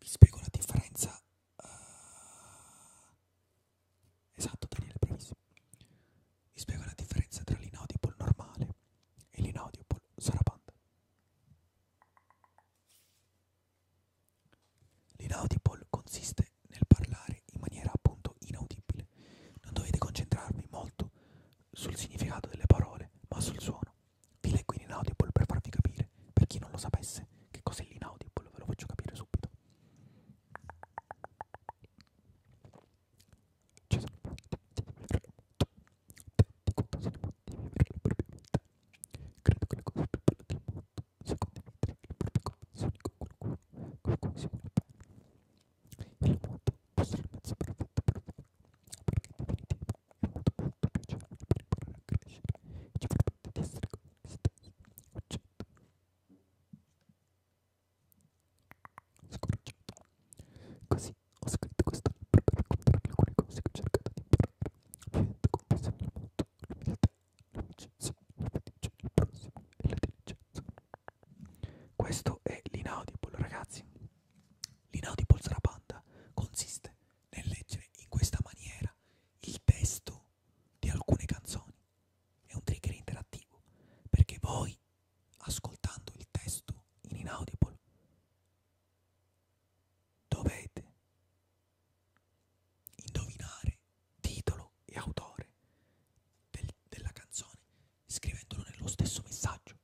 Vi spiego la differenza. Uh, esatto, Daniele, bravissimo. Vi spiego la differenza tra l'inaudible normale e l'inaudible sarabanda. L'inaudible consiste nel parlare in maniera appunto inaudibile. Non dovete concentrarvi molto sul significato delle parole, ma sul suono. Vi leggo in Inaudible per farvi capire, per chi non lo sapesse, che cos'è l'Inaudible, ve lo faccio capire subito. Ci sono tanti contasi motivi per le proprie vite. Credo che le cose più belle del mondo secondo me le proprie convinzioni con qualcuno, con cui si vuole bene. Il mondo può essere il mezzo perfetto per voi, perché in definitiva molto molto piacevole per imparare a crescere e ci permette di essere con noi stessi accetto scoraggiato così ho scritto questo libro per raccontare alcune cose che ho cercato di imparare l'evento compensa nel mondo l'umiltà, l'amicizia, la fiducia, il prossimo e la diligenza questo è l'inaudible ragazzi l'inaudible sarà panda consiste nel leggere in questa maniera il testo di alcune canzoni. È un trigger interattivo perché voi, ascoltando il testo in inaudible, dovete indovinare titolo e autore del, della canzone scrivendolo nello stesso messaggio.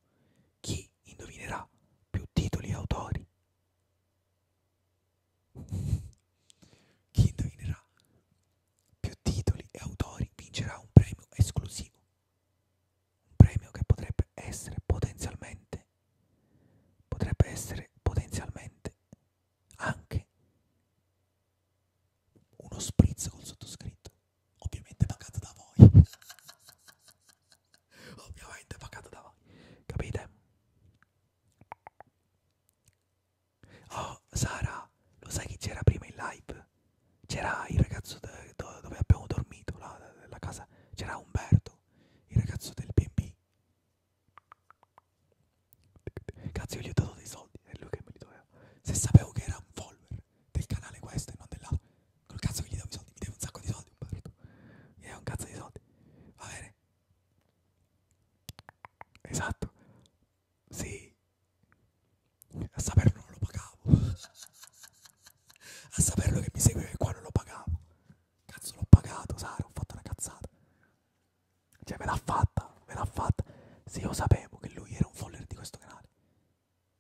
Chi indovinerà più titoli e autori chi indovinerà più titoli e autori vincerà un premio esclusivo. Un premio che potrebbe essere potenzialmente, potrebbe essere potenzialmente anche uno spritz col sottoscritto, ovviamente pagato da voi ovviamente pagato da voi capite oh Sara lo sai chi c'era prima in live c'era il ragazzo do dove abbiamo dormito là nella casa c'era Umberto il ragazzo del BB cazzo io gli ho dato dei soldi è lui che me li doveva se sapevo che era un follower del canale questo e non dell'altro Col cazzo che gli devo i soldi, mi deve un sacco di soldi, Umberto. Mi deve un cazzo di soldi. Va bene. Esatto. Sì. A saperlo non lo pagavo. A saperlo che mi seguiva qua non lo pagavo. Cazzo l'ho pagato, Sara, ho fatto una cazzata. Cioè me l'ha fatta, me l'ha fatta. Se io sapevo che lui era un follower di questo canale,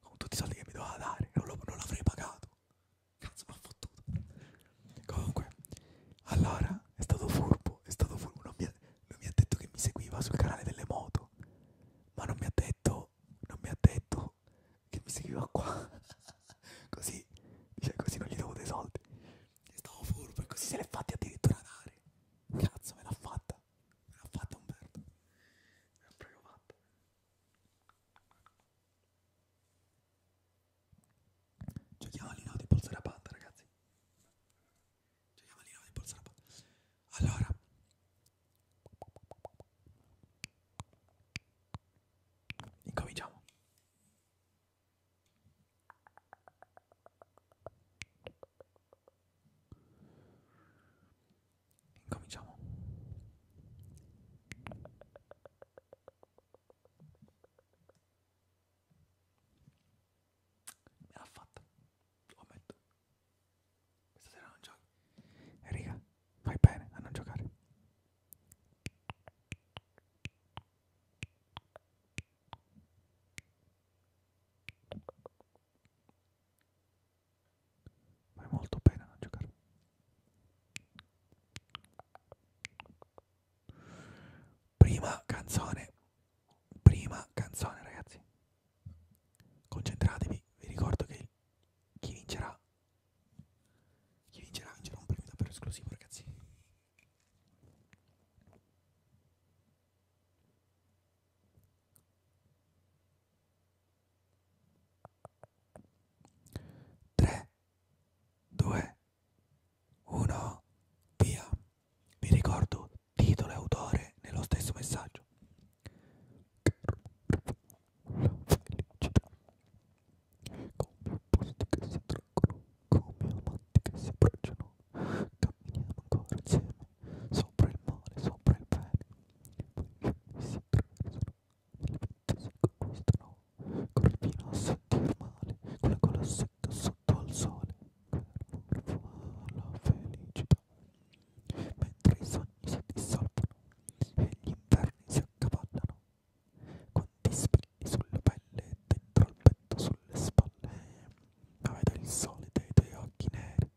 con tutti i soldi che mi doveva dare, non, lo, non l'avrei pagato. Cazzo, ma fottuto. Comunque, allora è stato furbo, è stato furbo. Non mi, ha, non mi ha detto che mi seguiva sul canale delle moto, ma non mi ha detto, non mi ha detto che mi seguiva qua. così, cioè così non gli devo dei soldi. È stato furbo e così se l'è fatti addirittura dare. Cazzo, me l'ha fatta. Me l'ha fatta Umberto. Me l'ha proprio fatta. Giochiamo all'inno di polsera panda, ragazzi. Giochiamo all'inno di polsera panda. Allora. Incominciamo. Incominciamo. Me l'ha fatta, lo ammetto. Questa sera non giochi. E riga, fai bene a non giocare. Fai molto bene a non giocare. Prima canzone, prima canzone ragazzi. Concentratevi, vi ricordo che chi vincerà, chi vincerà vincerà un premio davvero esclusivo ragazzi. Tre, 2, 1, via. Vi ricordo titolo e autore nello stesso messaggio. Felicità. Come posti che si traggono, come amanti che si abbracciano, camminiamo ancora insieme, sopra il mare, sopra il bene, poi si attraversano si conquistano corri fino a sentir male con la cola secca sotto al sole che la felicità mentre i sogni si dissolvono e gli inverni si accavallano quanti spilli sulla pelle dentro il petto sulle spalle ma vedo il sole dei tuoi occhi neri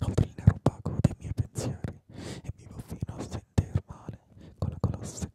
oltre il nero opaco dei miei pensieri e vivo fino a sentir male con la colla secca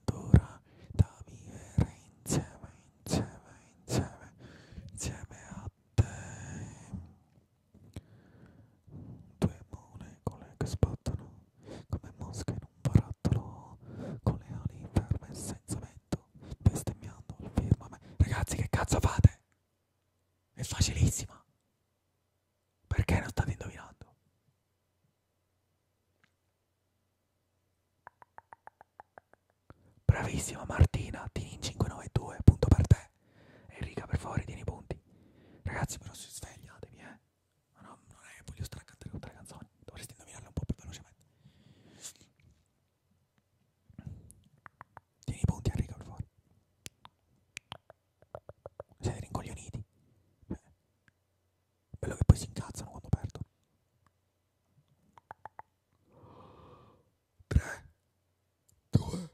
splendora da vivere insieme, insieme, insieme, insieme a te. Due molecole che sbattono come mosche in un barattolo, con le ali ferme senza vento, bestemmiando il firmamento. Ragazzi, che cazzo fate? È facilissima. Perché non state indovinando? Bravissima Martina, Tinin 592, punto per te. Enrica, per favore, tieni i punti. Ragazzi, però si svegliatevi, eh. Ma no, non è voglio stracantare tutte le canzoni. Dovresti indovinarle un po' più velocemente. Tieni i punti, Enrica, per favore. Siete rincoglioniti. Beh. Quello che poi si incazzano quando perdo. 3, 2,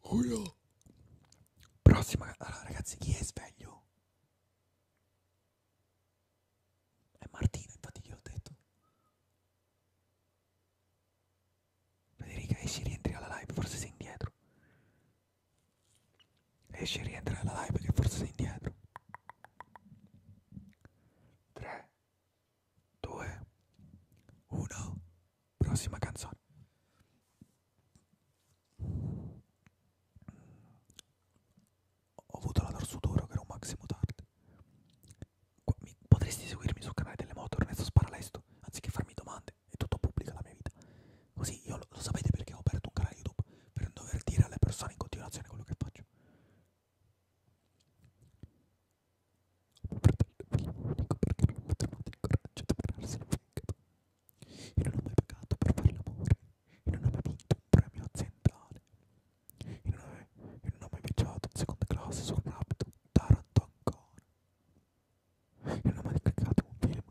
1. Prossima. Allora, ragazzi, chi è sveglio? È Martina, infatti gliel'ho detto. Federica, esci, rientri alla live, forse sei indietro. Esci e rientra nella live perché forse sei indietro. 3, 2, 1. Prossima canzone. Ho avuto la dorsoduro che era un maximo tardi. Mi, potresti seguirmi sul canale delle moto Ernesto Sparalesto anziché farmi domande. È tutto pubblico la mia vita. Così io lo, lo sapete perché ho aperto un canale YouTube per non dover dire alle persone in continuazione quello che faccio. Dico perché non ho trovato il coraggio di pararsi il fegato. Io non ho mai pagato per fare l'amore. Io non ho mai vinto un premio aziendale. Io non, è, io non ho mai viaggiato in seconda classe su un abito Taranto ancora. Io non ho mai cliccato un film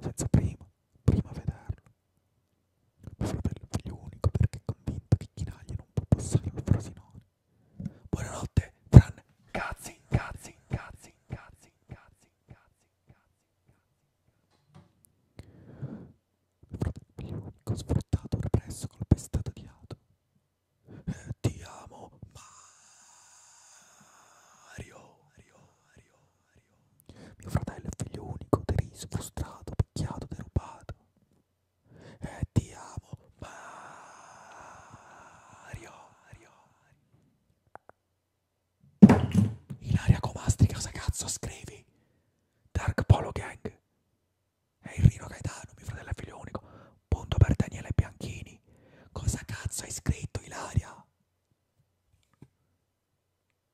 senza prima, prima vederlo. Mio fratello è figlio unico perché è convinto che Chinaglia non può passare al Frosinone. Buonanotte, Fran. Cazzi, cazzi, cazzi, cazzi, cazzi, cazzi, cazzi. Mio fratello è figlio unico, sfruttato, represso, colpestato, odiato. Eh, ti amo, Mario. Mario, Mario. Mio fratello è figlio unico, deriso, frustrato, picchiato, derubato. E ti amo, Mario. Ilaria Comastri, cosa cazzo scrivi? Dark Polo Gang. È il Rino Gaetano, mio fratello è figlio unico. Punto per Daniele Bianchini. Cosa cazzo hai scritto, Ilaria?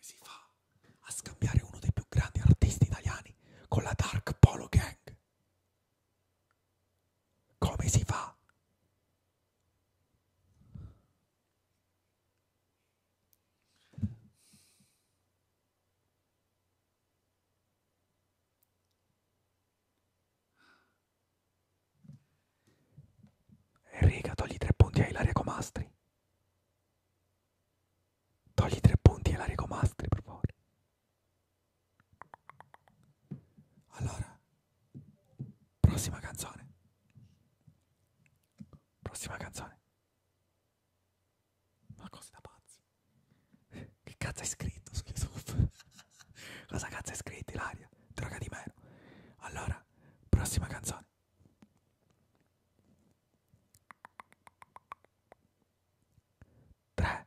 Come si fa a scambiare uno dei più grandi artisti italiani con la Dark Polo Gang? Come si fa? Enrica, togli tre punti a Ilaria Comastri. Togli tre punti a Ilaria Comastri, per favore. Allora, prossima canzone. Prossima canzone. Ma cosa da pazzi? Che cazzo hai scritto su YouTube? cosa cazzo hai scritto, Ilaria? Droga di meno. Allora, prossima canzone. Tre,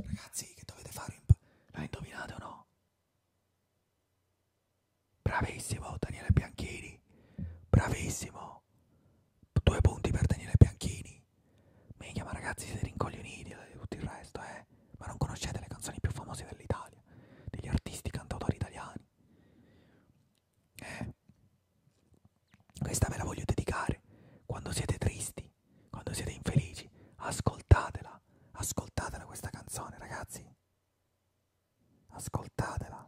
Ragazzi, che dovete fare? In... L'hai indovinato o no? Bravissimo Daniele Bianchini, bravissimo. Milano, due punti per Daniele Bianchini. Meglio, ma ragazzi, siete rincoglioniti e eh, tutto il resto, eh. Ma non conoscete le canzoni più famose dell'Italia, degli artisti cantautori italiani. Eh. Questa ve la voglio dedicare. Quando siete tristi, quando siete infelici, ascoltatela. Ascoltatela questa canzone, ragazzi. Ascoltatela.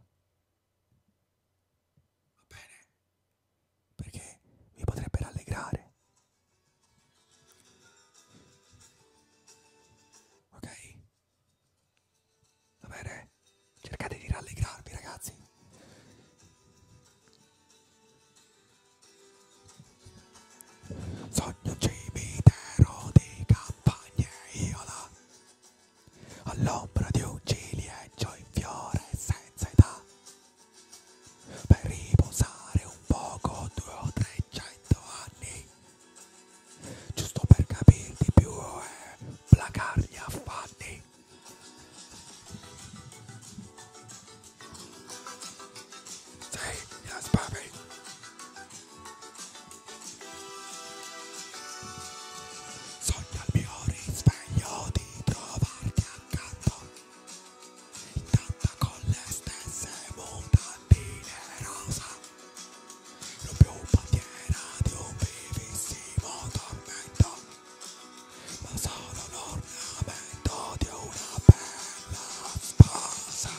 Va bene? Perché vi potrebbe rallegrare. Ok? Va bene? Cercate di rallegrarvi, ragazzi. Sogno cimitero di campagne iola all'ombra di un ciliegio in fiore senza età per riposare un poco due o trecento anni giusto per capir di più e eh, placar gli affanni sì, yes baby sogno al mio risveglio di trovarti a intanto, intanto con le stesse mutandine rosa, non più bandiera di un vivissimo tormento, ma solo l'ornamento di una bella sposa,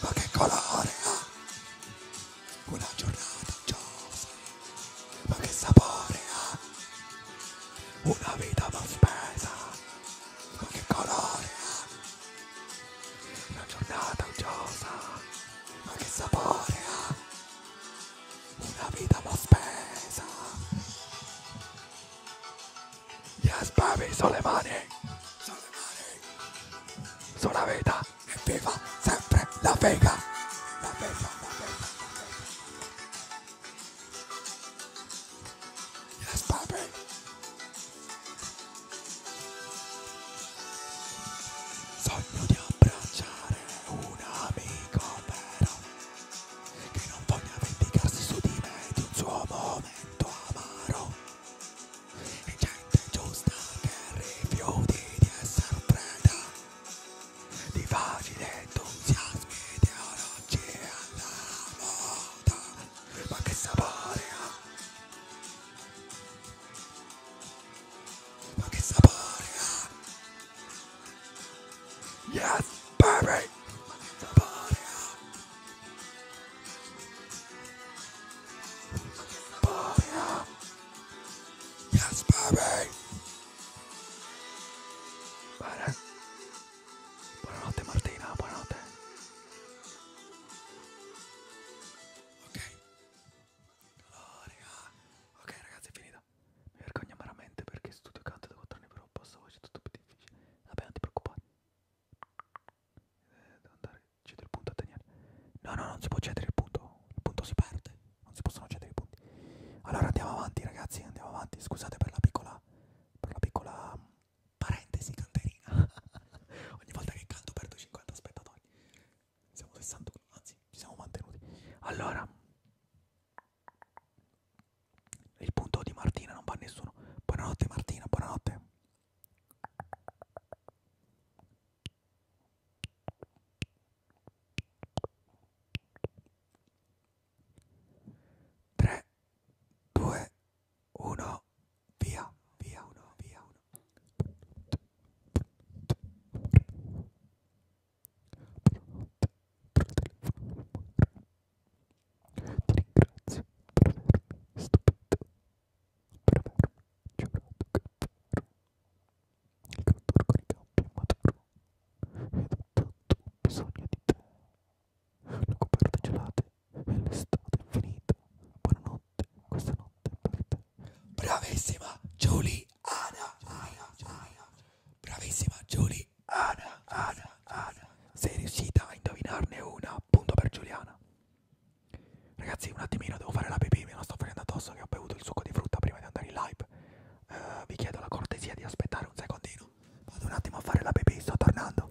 ma che colore ha? Una giornata giosa ma che sapore ha una vita mal spesa ma che colore ha una giornata uggiosa ma che sapore ha una vita mal spesa yes baby sulle mani sulle mani sulla vita e viva sempre la vega la vega la vega Yes, Bobby. Sogno di abbracciare un amico vero che non voglia vendicarsi su di me di un suo momento amaro. E gente giusta che rifiuti di essere preda di facile entusiasmo ideologie alla moda ma che sapore ha ma che sapore ha yes baby ma che sapore ha ma che sapore ha yes baby Bene. Buonanotte Martina, buonanotte. Ok. Oh, raga. Ok ragazzi, è finita. Mi vergogno amaramente perché studio canto da 4 anni però posso voce tutto più difficile. Vabbè, non ti preoccupare. Eh, devo andare. Cedere il punto a Daniele. No, no, non si può cedere il punto. Il punto si perde non si possono cedere i punti. Allora andiamo avanti, ragazzi, andiamo avanti. Scusate per la piccola, per la piccola mm, parentesi canterina. Ogni volta che canto perdo 50 spettatori. Siamo 61, anzi, ci siamo mantenuti. Allora, il punto di Martina non va a nessuno. Buonanotte Martina, buonanotte. 3, 2, 1, via, via, uno, via, uno. Ti ringrazio per avermi stupito, per avermi giurato che il contorno di campi è maturo ed ho tanto bisogno di te. Le coperte gelate e l'estate infinita. Buonanotte, questa notte è per te. Bravissima Julie Ana, Ana, Ana. Bravissima Julie Ana, Ana, Ana. Sei riuscita a indovinarne una, punto per Giuliana. Ragazzi, un attimino devo fare la pipì, me la sto prendendo addosso che ho bevuto il succo di frutta prima di andare in live eh, vi chiedo la cortesia di aspettare un secondino. Vado un attimo a fare la pipì, sto tornando.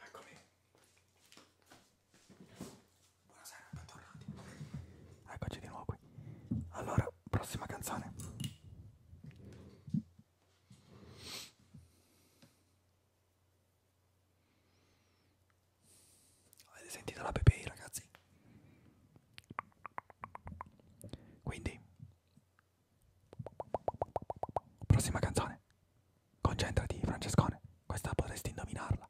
Eccomi. Buonasera, bentornati. Eccoci di nuovo qui. Allora, prossima canzone. Avete sentito la Pepe ragazzi? Quindi prossima canzone. Concentrati Francescone, questa potresti indovinarla.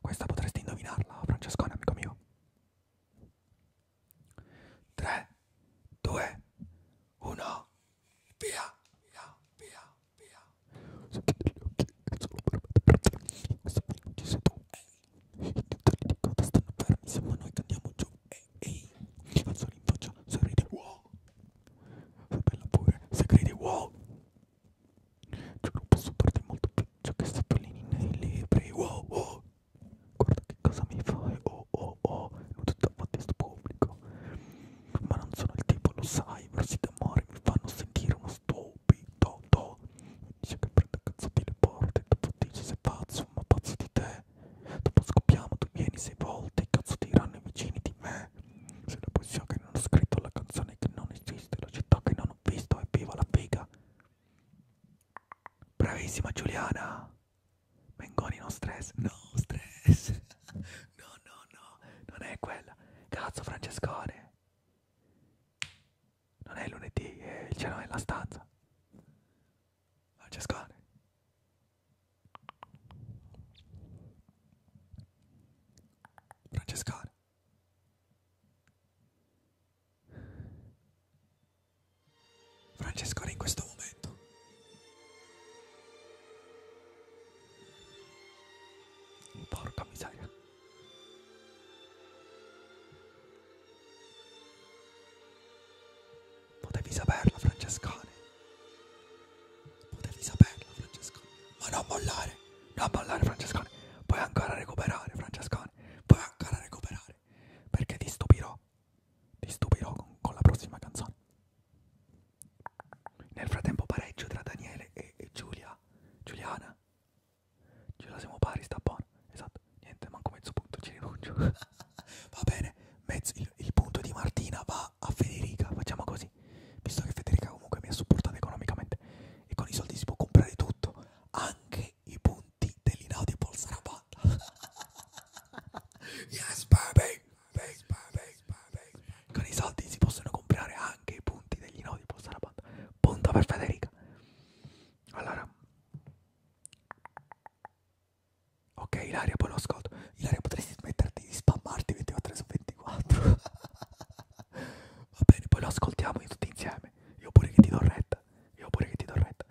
Questa potresti indovinarla, Francescone, amico mio. 3 2 1 Via, via, via, via. Ci sei tu. Ehi, gli utenti di coda stanno fermi. Siamo noi che andiamo giù. Ehi, ehi. Alzo in faccia. Sorridi. Wow. Fa bella pure. Se credi, wow. Giuro, posso darti molto più ciò che sta pallini nei libri. Wow, wow. Guarda che cosa mi fai. Oh, oh, oh. Non tutto davanti a sto pubblico ma non sono il tipo, lo sai, versi d'amore mi fanno sentire uno stupido, do. Dice che prende cazzotti le porte, dopo dice sei pazzo, ma pazzo di te. Dopo scoppiamo, tu vieni sei volte, cazzo ti diranno i vicini di me. Se la poesia che non ho scritto, la canzone che non esiste, la città che non ho visto, e viva la figa. Bravissima Giuliana! Mengoni no stress, no stress. no, no, no, non è quella. Cazzo, Francescone. Non è lunedì, è il cielo nella stanza. Francescone. Francescone. Francescone in questo momento Porca miseria. Potevi saperla, Francescone. Potevi saperla, Francescone. Ma non mollare. Non mollare, Francescone. Puoi ancora recuperare, Francescone. Puoi ancora recuperare. Perché ti stupirò. Ti stupirò con, con la prossima canzone. Nel frattempo pareggio tra Daniele e, e Giulia. Giuliana. Giulia siamo pari, sta buono. Esatto, niente, manco mezzo punto, ci rinuncio. va bene, mezzo, il, il punto di Martina va a Federica, facciamo così. Visto che Federica comunque mi ha supportato economicamente e con i soldi si può comprare tutto, anche i punti dell'inaudible sarà fatta. yes, baby! Con i soldi si possono comprare anche i punti degli nodi. Posta la banda. Punto per Federica. Allora. Ok, Ilaria, poi lo ascolto. Ilaria, potresti smetterti di spammarti 24 su 24. Va bene, poi lo ascoltiamo tutti insieme. Io pure che ti do retta. Io pure che ti do retta.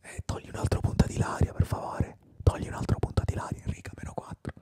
Eh, togli un altro punto ad Ilaria, per favore. Togli un altro punto ad Ilaria, Enrica, meno 4.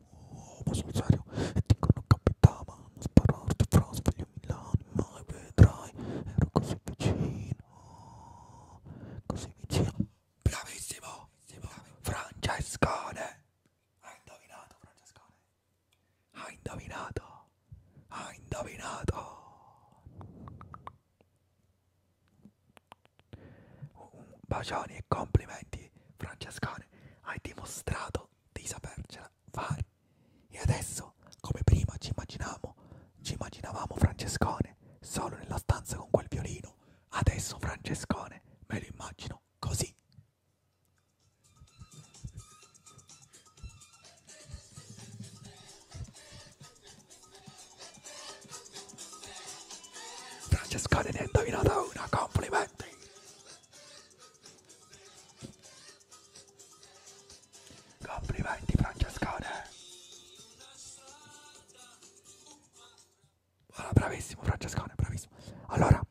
nuovo sul serio e dicono capitava non spararti fra sveglio Milano mai vedrai ero così vicino così vicino bravissimo, bravissimo. Francescone hai indovinato Francescone hai indovinato hai indovinato bacioni e complimenti di Francescone hai dimostrato di sapercela fare. E adesso, come prima ci immaginavamo, ci immaginavamo Francescone solo nella stanza con quel violino. Adesso Francescone me lo immagino così. Francescone ne ha indovinata una, complimenti! Complimenti Francescone. Allora, bravissimo Francescone, bravissimo. Allora,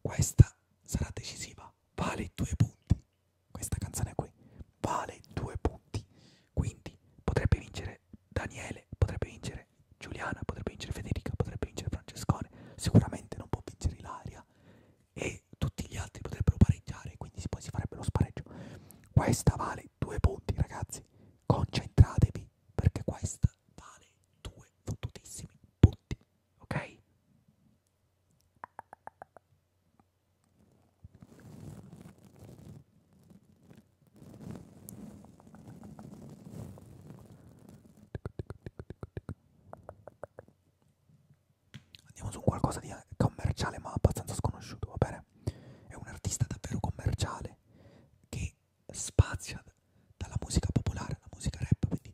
questa sarà decisiva, vale due punti. Questa canzone qui vale due punti. Quindi potrebbe vincere Daniele, potrebbe vincere vincere Giuliana, potrebbe vincere Federica, potrebbe vincere Francescone, sicuramente non può vincere Ilaria e tutti gli altri potrebbero pareggiare, quindi poi si farebbe lo spareggio. Questa vale due punti, ragazzi. Concentratevi perché questa vale due fottutissimi punti, ok? Andiamo su qualcosa di eh, commerciale ma abbastanza sconosciuto, va bene? È un artista davvero commerciale che spazia dalla musica popolare alla musica rap, quindi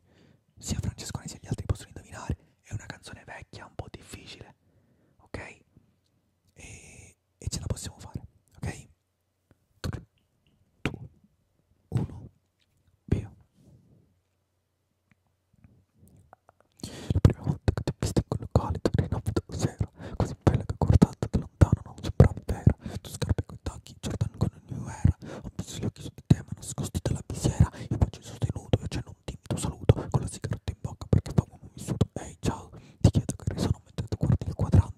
sia Francescone sia gli altri possono indovinare. È una canzone vecchia, un po' difficile, ok? E, e ce la possiamo fare, ok? 3, 2, 1, via. La prima volta che ti ho visto in quel locale ti rinnovato sera, così bella che guardata da lontano non sembrava vera. Tu scarpe coi tacchi, Jordan con il New Era, ho messo gli occhi su di te ma nascosti dalla visiera. Io faccio il sostenuto e accendo un timido saluto, con la sigaretta in bocca perché fa un vissuto. Ehi, ciao, ti chiedo che risano mentre tu guardi il quadrante.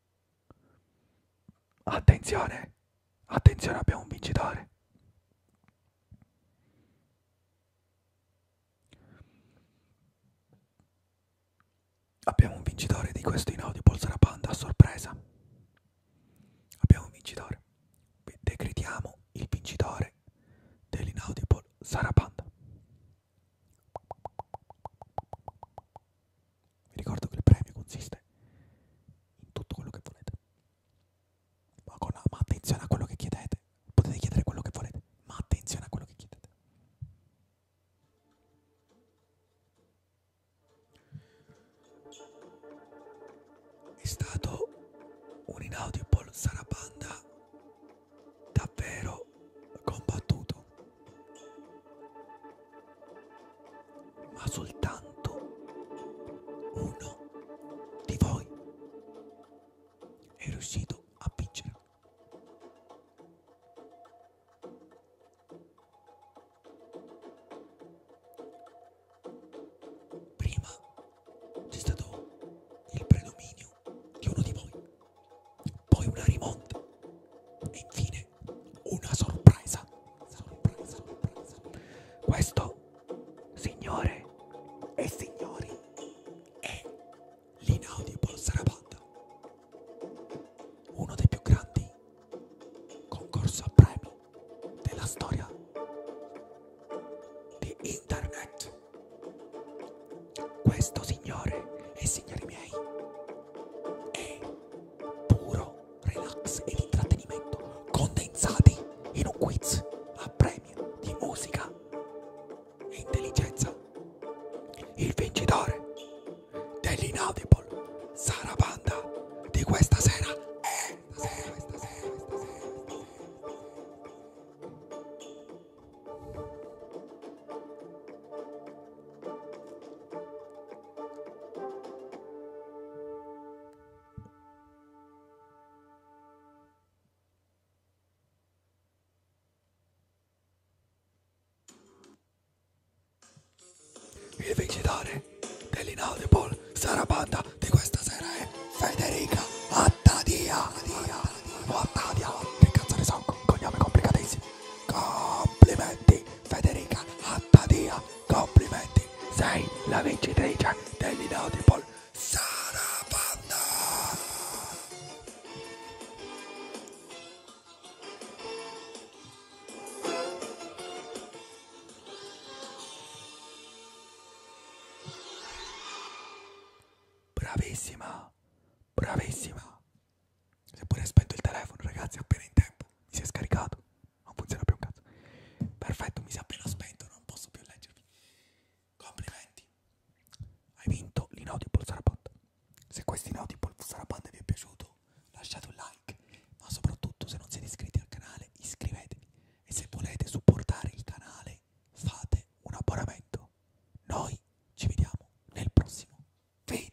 Attenzione, attenzione, abbiamo un vincitore. Abbiamo un vincitore di questo inaudible Sarapanda a sorpresa. Abbiamo un vincitore. Decretiamo il vincitore dell'inaudible Sarapanda. Vi ricordo che il premio consiste in tutto quello che volete. Ma, con, ma attenzione a quello che chiedete. Potete chiedere quello che volete, ma attenzione a quello che chiedete. È stato un inaudible Sarabanda davvero combattuto ma soltanto uno di voi è riuscito a vincere. Prima c'è stato il predominio di uno di voi, poi una rimonta e infine è una sorpresa. sorpresa, sorpresa. Questo, signore e signori, è l'Inaudible Sarabanda, uno dei più grandi concorsi a premi della storia di Internet. Questo, signore e signori miei, è puro relax ed intrattenimento condensati in un quiz a premio di musica e intelligenza. Il vincitore dell'Inaudible Sara Panda di questa sera è... Stasera, questa sera, questa sera, questa sera. Il vincitore dell'inaudibile sarabanda di questa sera è Federica Attadia. Attadia. O Attadia. Che cazzo ne so, cognome complicatissimo. Complimenti Federica Attadia Complimenti, sei la vincitrice dell'Inaudible Sarabanda. Bravissima, bravissima. Seppure spento il telefono, ragazzi, appena in tempo. Mi si è scaricato non funziona più un cazzo. Perfetto, mi si è appena spento, non posso più leggervi. Complimenti. Hai vinto l'Inaudible Sarabanda. Se questo Inaudible Sarabanda vi è piaciuto, lasciate un like, ma soprattutto se non siete iscritti al canale, iscrivetevi. E se volete supportare il canale, fate un abbonamento. Noi ci vediamo nel prossimo video.